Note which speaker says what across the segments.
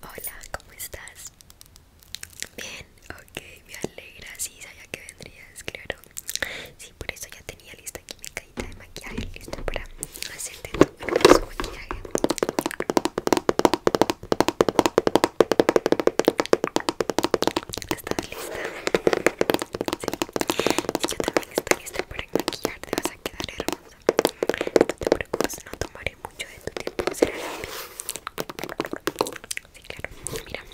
Speaker 1: Hola, ¿cómo estás? Bien, ok, me alegra, sí, sabía que vendrías, claro Sí, por eso ya tenía lista aquí mi cajita de maquillaje Lista para hacerte tu hermoso maquillaje ¿Estás lista? Sí, yo también estoy lista para maquillarte, vas a quedar hermosa no te preocupes, no tomaré mucho de tu tiempo. Será rápido. Sí, claro. Mira,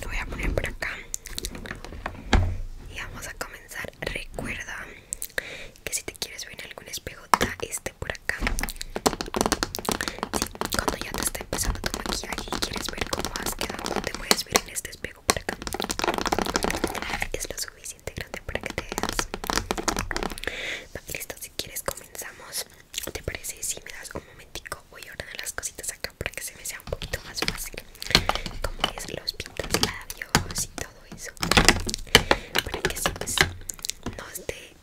Speaker 1: lo voy a poner por acá. Y vamos a comenzar. Recuerda que si te quieres ver en algún espejo, da este por acá. Sí, cuando ya te está empezando tu maquillaje y quieres ver cómo has quedado, te puedes ver en este espejo por acá. Es lo suficiente para que te veas. listo, si quieres comenzamos. ¿Te parece si me das un momentico? Voy a ordenar las cositas acá para que se me sea un poquito más fácil. Como es los pintas labios y todo eso. Para que si pues, no esté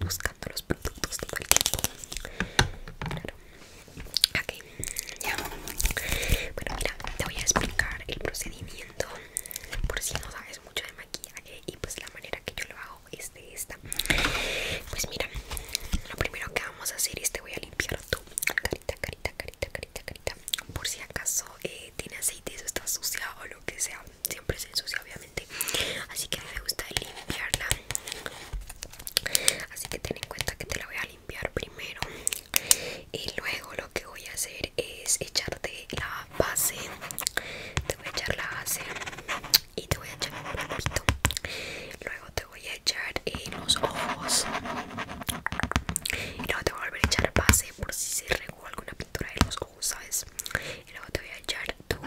Speaker 1: buscando los productos todo el tiempo. Claro. Ok, ya. Bueno, mira, te voy a explicar el procedimiento por si no sabes mucho de maquillaje y pues la manera que yo lo hago es de esta pues mira lo primero que vamos a hacer es te voy a limpiar tu carita carita carita carita carita por si acaso eh, tiene aceite o está sucia o lo que sea siempre se ensucia obviamente así que me gusta limpiarla así que ten en cuenta que te la voy a limpiar primero y luego lo que voy a hacer es echarte la base te voy a echar la base y te voy a echar un poquito luego te voy a echar en los ojos y luego te voy a volver a echar base por si se regó alguna pintura en los ojos sabes y luego te voy a echar tu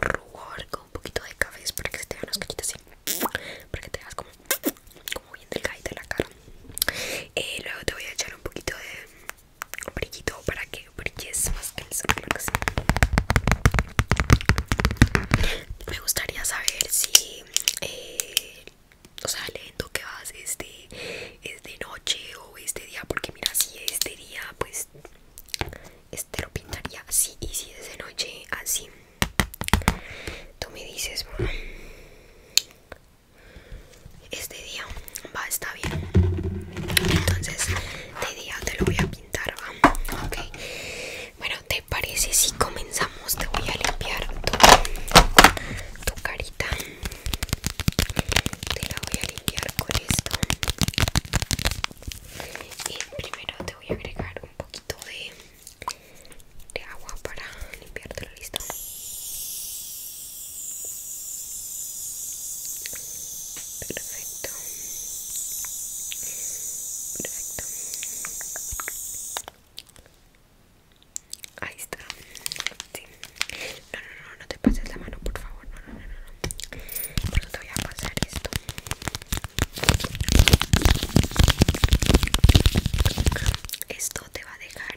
Speaker 1: rubor con un poquito de café para que se te vean los cachitos así para que te veas como muy bien la cara eh, luego te voy a echar un poquito de brillito para que brilles más que el sol me gustaría saber si eh, o sea el que vas este de, es de noche o es de día porque mira si es de día pues este lo pintaría así y si es de noche así tú me dices bueno, este día va está bien entonces este día te lo voy a pintar ¿va? ok bueno te parece si comenzamos te voy a limpiar tu carita te la voy a limpiar con esto y primero te voy a agregar un poquito de de agua para limpiártelo, listo. Perfecto. Perfecto. Ahí está. Sí. No, no, no, no te pases la mano, por favor. No, no, no, no. Por eso te voy a pasar esto. Esto te va a dejar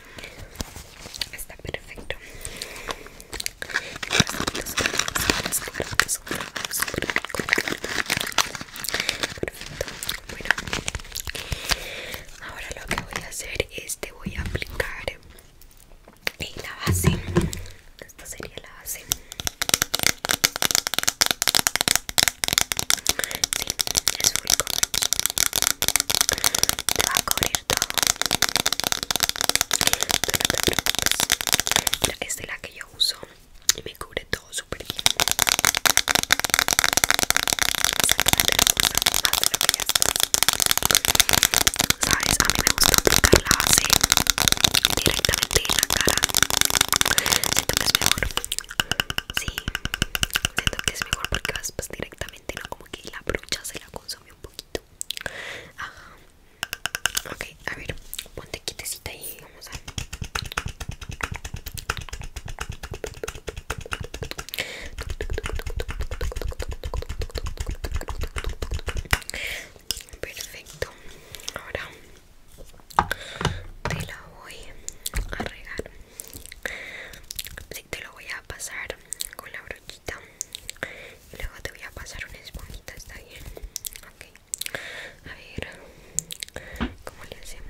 Speaker 1: Está perfecto. Perfecto. Bueno, ahora lo que voy a hacer es te voy a aplicar la base. Esta sería la base. Sí, es único. Te va a cubrir esta es la que yo uso y me cubre todo súper bien a mí me gusta aplicar la base directamente en la cara siento que es mejor sí siento que es mejor porque vas directamente no como que la brocha se la un poquito. Ajá. a ver, ponte quitecita y vamos a. Perfecto. Ahora te la voy a regar. te lo voy a pasar con la brocha y luego te voy a pasar una esponjita, ¿está bien? okay a ver, ¿cómo le hacemos?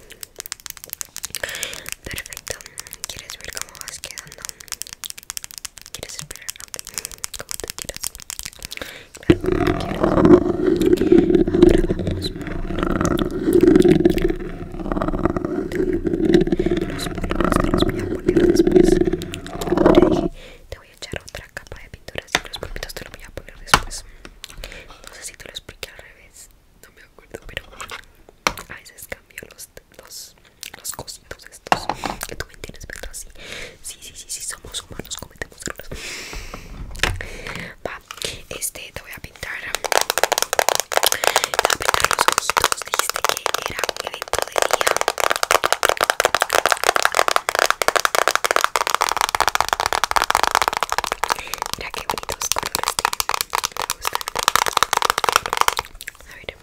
Speaker 1: Perfecto. ¿Quieres ver cómo vas quedando? ¿Quieres esperar? ¿Cómo te tiras? Claro, Ahora vamos los polvos te los voy a poner después. Te voy a echar otra capa de pintura. Así los polvitos te los voy a poner después. No sé si te lo expliqué al revés no me acuerdo, pero a veces cambio los, los, los cositos estos. Que tú me entiendes, pero así. Sí, sí, sí, sí, somos humanos, cometemos errores. Va, este te voy a pintar. Te voy a pintar los costos, Dijiste que era un evento de día. Mira que bonitos colores a ver,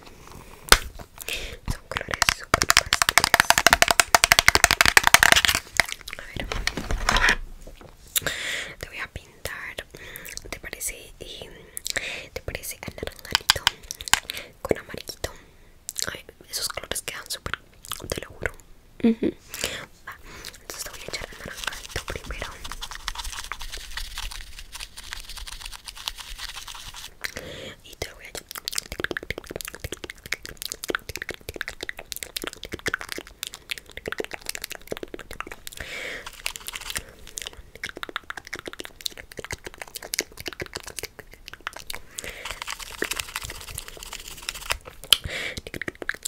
Speaker 1: son colores super pasteles. A ver, te voy a pintar. ¿Te parece? Eh, ¿Te parece anaranjadito con amarillito? ver, esos colores quedan super, te lo juro entonces te voy a echar el primero y te voy a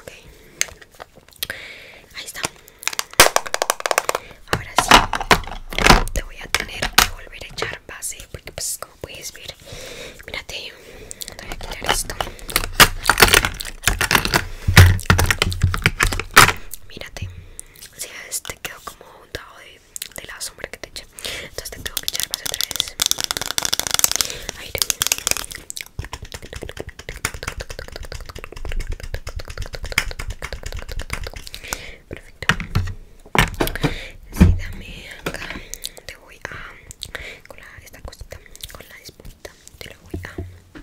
Speaker 1: Okay. Ahí está. Ahora sí, te voy a tener que volver a echar base porque pues como puedes ver, mírate, te voy a quitar esto. Mírate, si es, ves te quedó como un de, de la sombra que te echa entonces te tengo que echar más otra vez aire perfecto sí, dame acá te voy a con la, esta cosita con la esponjita te la voy a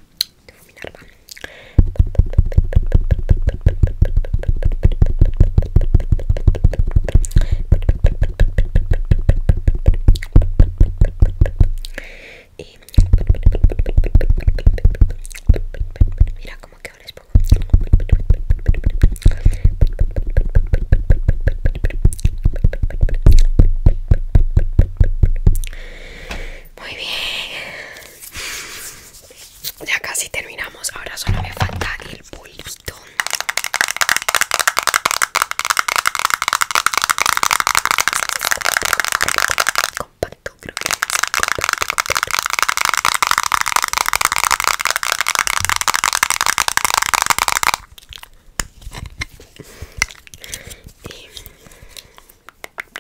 Speaker 1: y mira cómo que ahora es muy bien ya casi terminamos. Ahora solo me falta el bolito.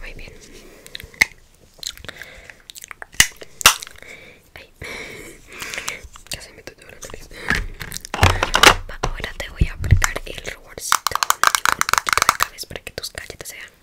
Speaker 1: Muy bien. Ahora te voy a aplicar el ruborcito para que tus calles sean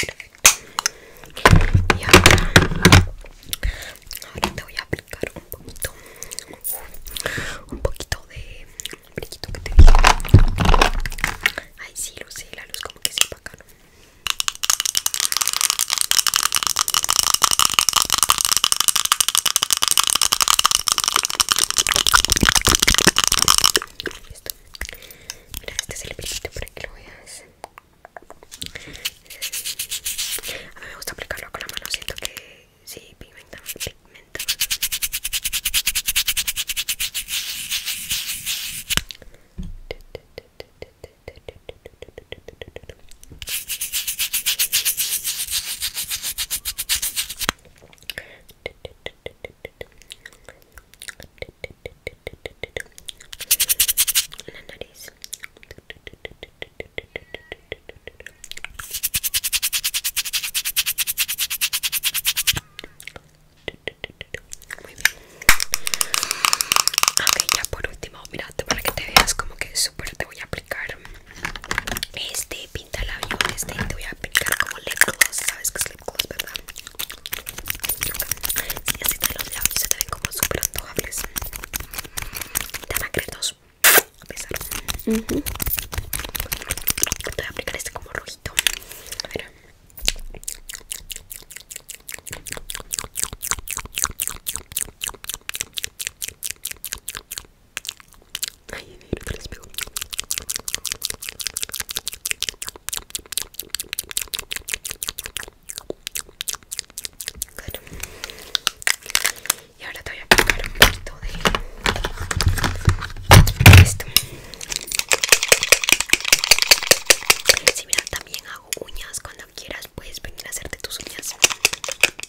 Speaker 1: Perfecto. Y ahora, te voy a aplicar un poquito, un poquito de que te dije. Ay, sí, lo sé, la luz como que se apagaron. Listo. Mira, este es el pinito para que lo veas. A mí me gusta aplicarlo con la mano, siento que sí, pigmenta, pigmenta la nariz muy Ok, ya por último, mira, para que te veas como que súper te voy a aplicar este pintalabios este te voy a aplicar como lip ¿Sabes que es lip verdad? Si sí, así te los labios se te ven como súper antojables. Te van a A pesar. mhm Te voy a aplicar este como rojito. A ver. Ay, Y ahora te voy a pegar un poquito de esto. Si también hago uñas. Cuando quieras puedes venir a hacerte tus uñas.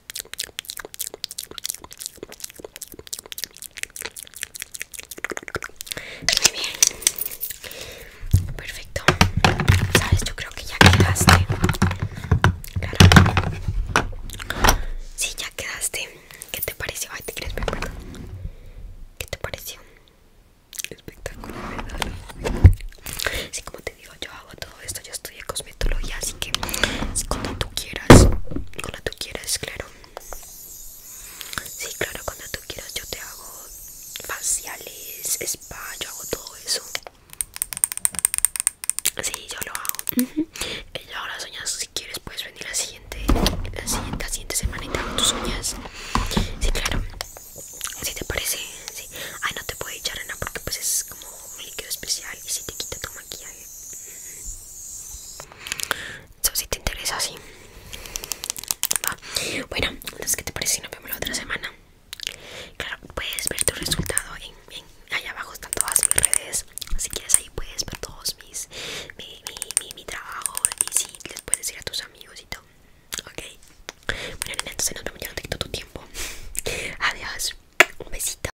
Speaker 1: Muy bien. Perfecto. Sabes, yo creo que ya quedaste. Claro. Sí, ya quedaste. ¿Qué te pareció? te quieres ¿Qué te pareció? Espectacular, ¿verdad? Sí, como te digo, yo hago todo esto, yo de cosmetología, así que cuando tú quieras, cuando tú quieras, claro. Sí, claro, cuando tú quieras yo te hago faciales, spa, yo hago todo eso. Sí, yo lo hago. yo Y ahora las uñas, si quieres puedes venir la siguiente, la siguiente, semana y te hago tus uñas. Sí, claro. Si te parece, Ay, no te puedo echar nada porque pues es como un líquido especial y si te quita tu maquillaje. Eso si te interesa, así Bueno, entonces, ¿qué te parece si nos vemos la otra semana? Claro, puedes ver tu resultado en, allá abajo están todas mis redes. Si quieres ahí puedes ver todos mis mi, mi, trabajo y si sí, les puedes ir a tus amigos y todo. Ok. Bueno, nena, entonces nos vemos ya no te quito tu tiempo. Adiós. Un besito.